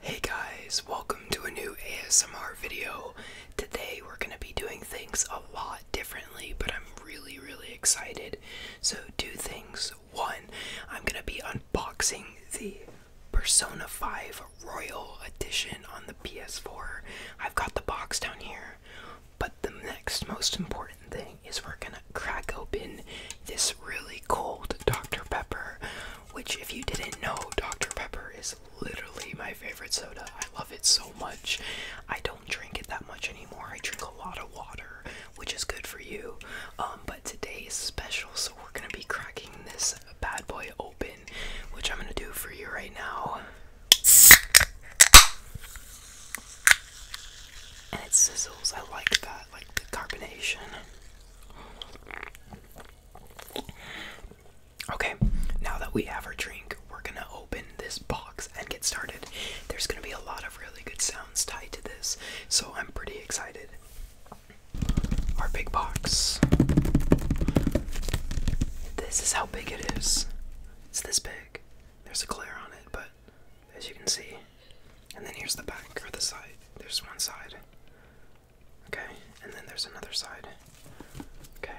Hey guys, welcome to a new ASMR video. Today we're going to be doing things a lot differently, but I'm really, really excited. So, two things. One, I'm going to be unboxing the Persona 5 Royal Edition on the PS4. I've got the box down here, but the next most important thing is we're going to crack open this really cold Dr. Pepper which if you didn't know, Dr. Pepper is literally my favorite soda. I love it so much. I don't drink it that much anymore. I drink a lot of water, which is good for you. Um, but today is special, so we're gonna be cracking this bad boy open, which I'm gonna do for you right now. And it sizzles. I like that, like the carbonation. Okay, now that we have our drink, we're gonna open this box and get started. There's gonna be a lot of really good sounds tied to this, so I'm pretty excited. Our big box. This is how big it is. It's this big. There's a glare on it, but as you can see, and then here's the back or the side. There's one side. Okay, and then there's another side. Okay.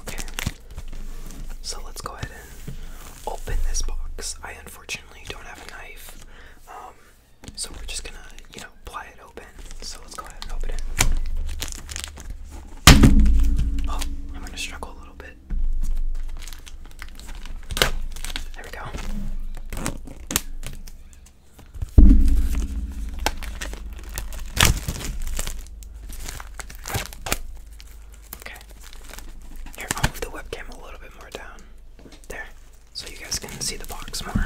Okay, so let's go ahead and open this box. I unfortunately don't have a knife, um, so we're just gonna, you know, ply it open. So let's go ahead and open it. Oh, I'm gonna struggle a little bit. There we go. Okay. Here, I'll move the webcam a little bit more down. There. So you guys can see the box more.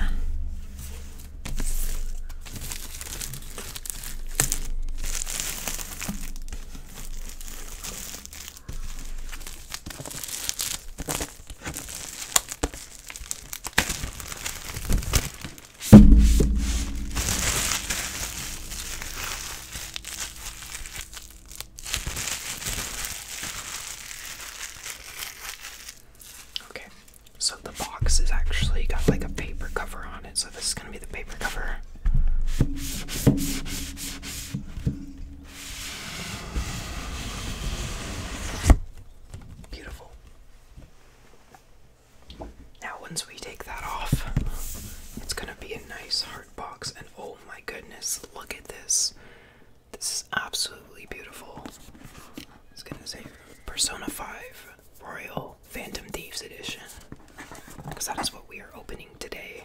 Okay, so the box is actually got like a paper cover on it, so this is gonna be the paper cover. Beautiful. Now, once we take that off, it's gonna be a nice hard box. And oh my goodness, look at this! This is absolutely beautiful. It's gonna say Persona 5 Royal Phantom Thieves Edition because that is what we are opening today.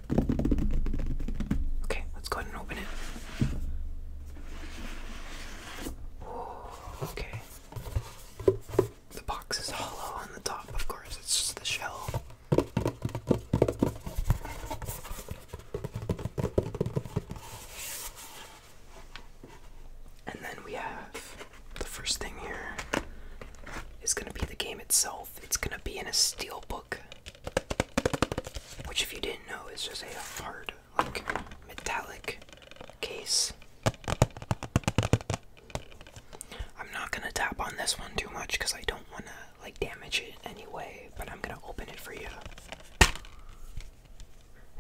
Okay, let's go ahead and open it. okay. The box is hollow on the top, of course, it's just the shell. And then we have the first thing here is going to be the game itself. It's going to be in a steel book. Which, if you didn't know, is just a hard, like, metallic case. I'm not gonna tap on this one too much because I don't wanna, like, damage it anyway, but I'm gonna open it for you.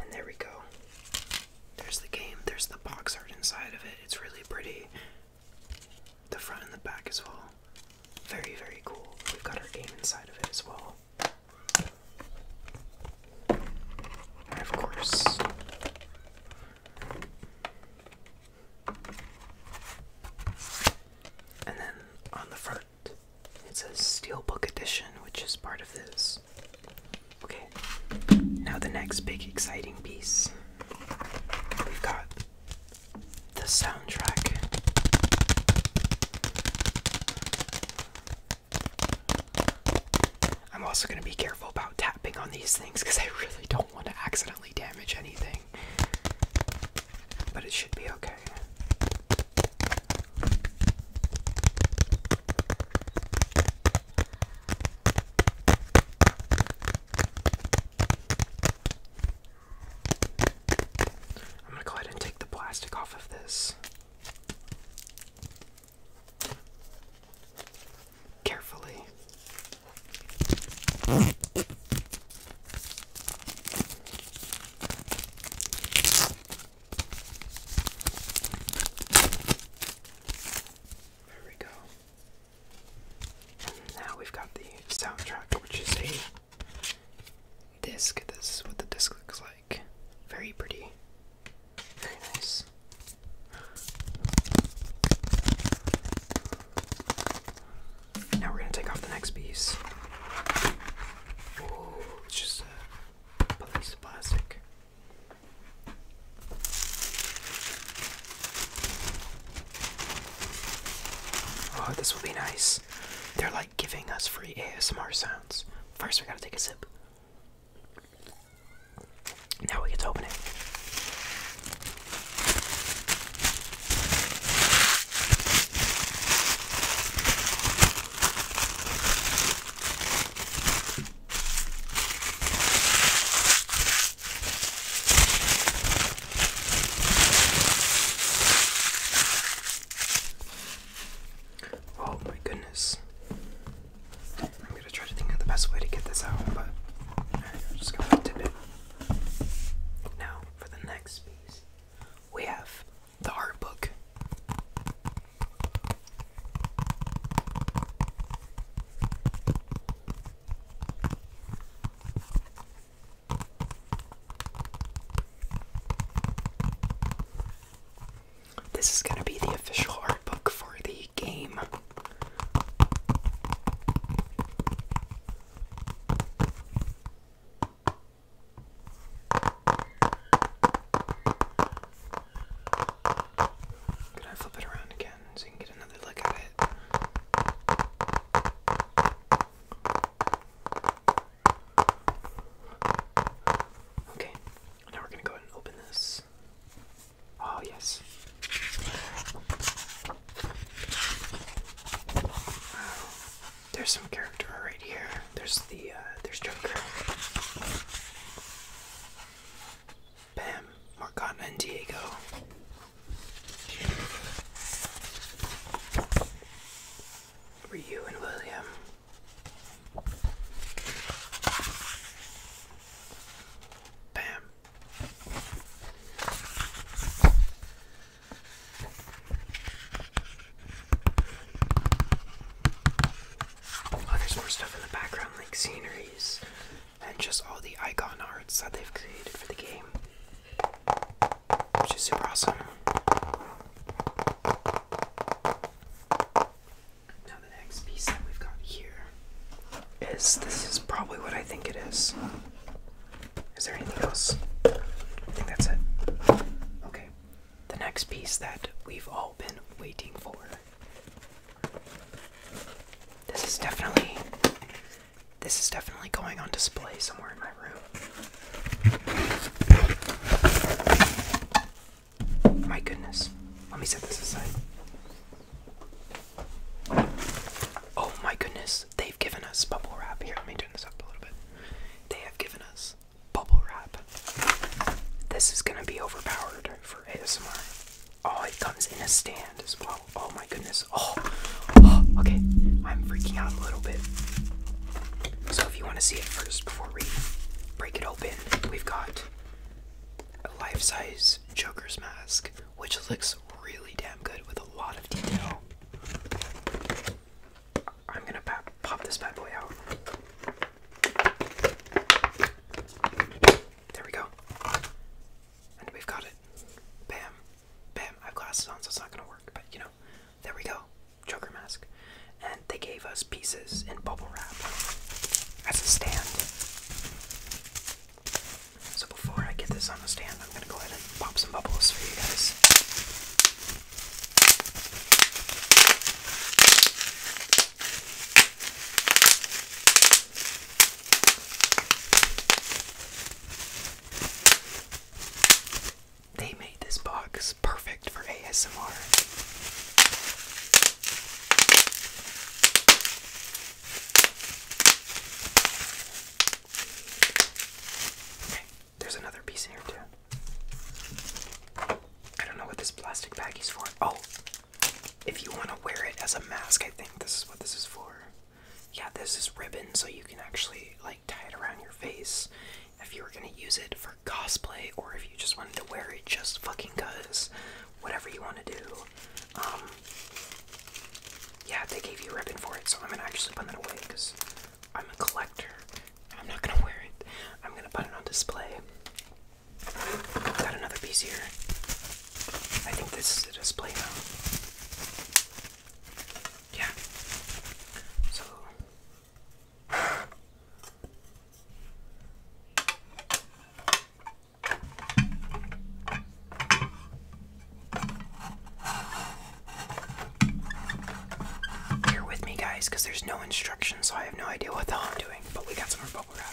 And there we go. There's the game, there's the box art inside of it. It's really pretty the front and the back as well. Very, very cool. We've got our game inside of it as well. of course, and then on the front it says Steelbook Edition, which is part of this. Okay, now the next big exciting piece. We've got the soundtrack. I'm also going to be careful about tapping on these things because I really don't want to accidentally damage anything. But it should be okay. I'm gonna go ahead and take the plastic off of this. Carefully. There we go. And now we've got the soundtrack, which is a disc. This is what the disc looks like. Very pretty. Very nice. Now we're gonna take off the next piece. Oh, just a piece of plastic. Oh, this will be nice. They're like giving us free ASMR sounds. First, we gotta take a sip. Now we get to open it. Oh my goodness. I'm gonna try to think of the best way to get this out, but I'm just gonna tip it. Now, for the next piece, we have the art book. This is going to be the official art book for the game. Could I flip it around again so you can get another look at it? Okay, now we're gonna go ahead and open this. Oh, yes. Wow. There's some character right here. There's the, uh, there's Joker. Bam, Morgana and Diego. you and William. Bam. Oh, there's more stuff in the background, like sceneries and just all the icon arts that they've created for the game, which is super awesome. Now, the next piece that we've got here is this is probably what I think it is. Is there anything else? I think that's it. Okay, the next piece that we've all been waiting for this is definitely this is definitely going on display somewhere in my room. My goodness. Let me set this aside. Oh my goodness. They've given us bubble wrap. Here, let me turn this up a little bit. They have given us bubble wrap. This is going to be overpowered for ASMR. Oh, it comes in a stand as well. Oh my goodness. Oh, okay. I'm freaking out a little bit. So if you want to see it first before we break it open, we've got a life-size Joker's mask, which looks really damn good with a lot of detail. I'm gonna pop this bad boy out. There we go. And we've got it. Bam. Bam. I have glasses on, so it's not going to work. But, you know, there we go. Joker mask. And they gave us pieces in bubble wrap as a stand. So before I get this on the stand, I'm going to go ahead and pop some bubbles for you guys. They made this box perfect for ASMR. Okay, there's another piece in here too. I don't know what this plastic bag is for. Oh, if you want to wear it as a mask, I think this is what this is for. Yeah, this is ribbon, so you can actually like tie it around your face if you were gonna use it for cosplay or if you just wanted to wear it just fucking cuz. Whatever you want to do. Um, yeah, they gave you ribbon for it, so I'm gonna actually put that away because I'm a collector. I'm not gonna wear it. I'm gonna put it on display. i got another piece here. I think this is the display now. Yeah. So. Here with me, guys, because there's no instructions, so I have no idea what the hell I'm doing. But we got some bubble wrap.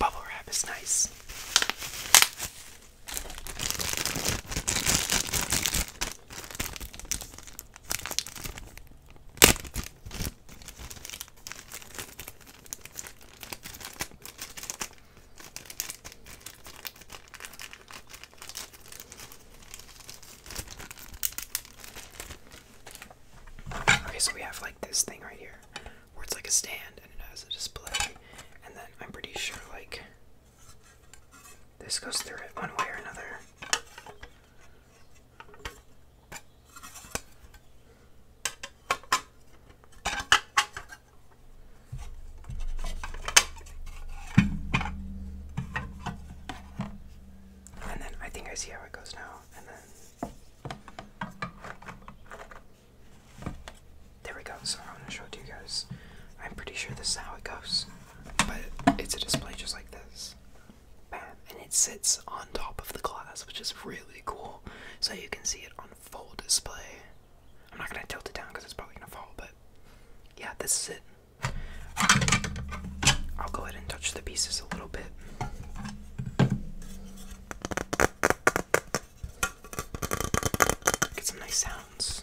Bubble wrap is nice. Okay, so we have like this thing right here where it's like a stand and it has a display, and then I'm pretty sure like this goes through it one way or another. And then I think I see how it goes now. And then there we go. So I'm gonna show it to you guys. I'm pretty sure this is how it goes. But it's a display just like this. And it sits on top of the glass, which is really cool. So you can see it on full display. I'm not going to tilt it down because it's probably going to fall, but yeah, this is it. I'll go ahead and touch the pieces a little bit. Get some nice sounds.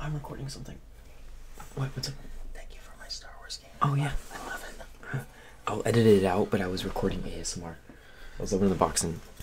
I'm recording something. What? What's up? Thank you for my Star Wars game. Oh, yeah. I love it. I'll edit it out, but I was recording ASMR. I was opening the box and.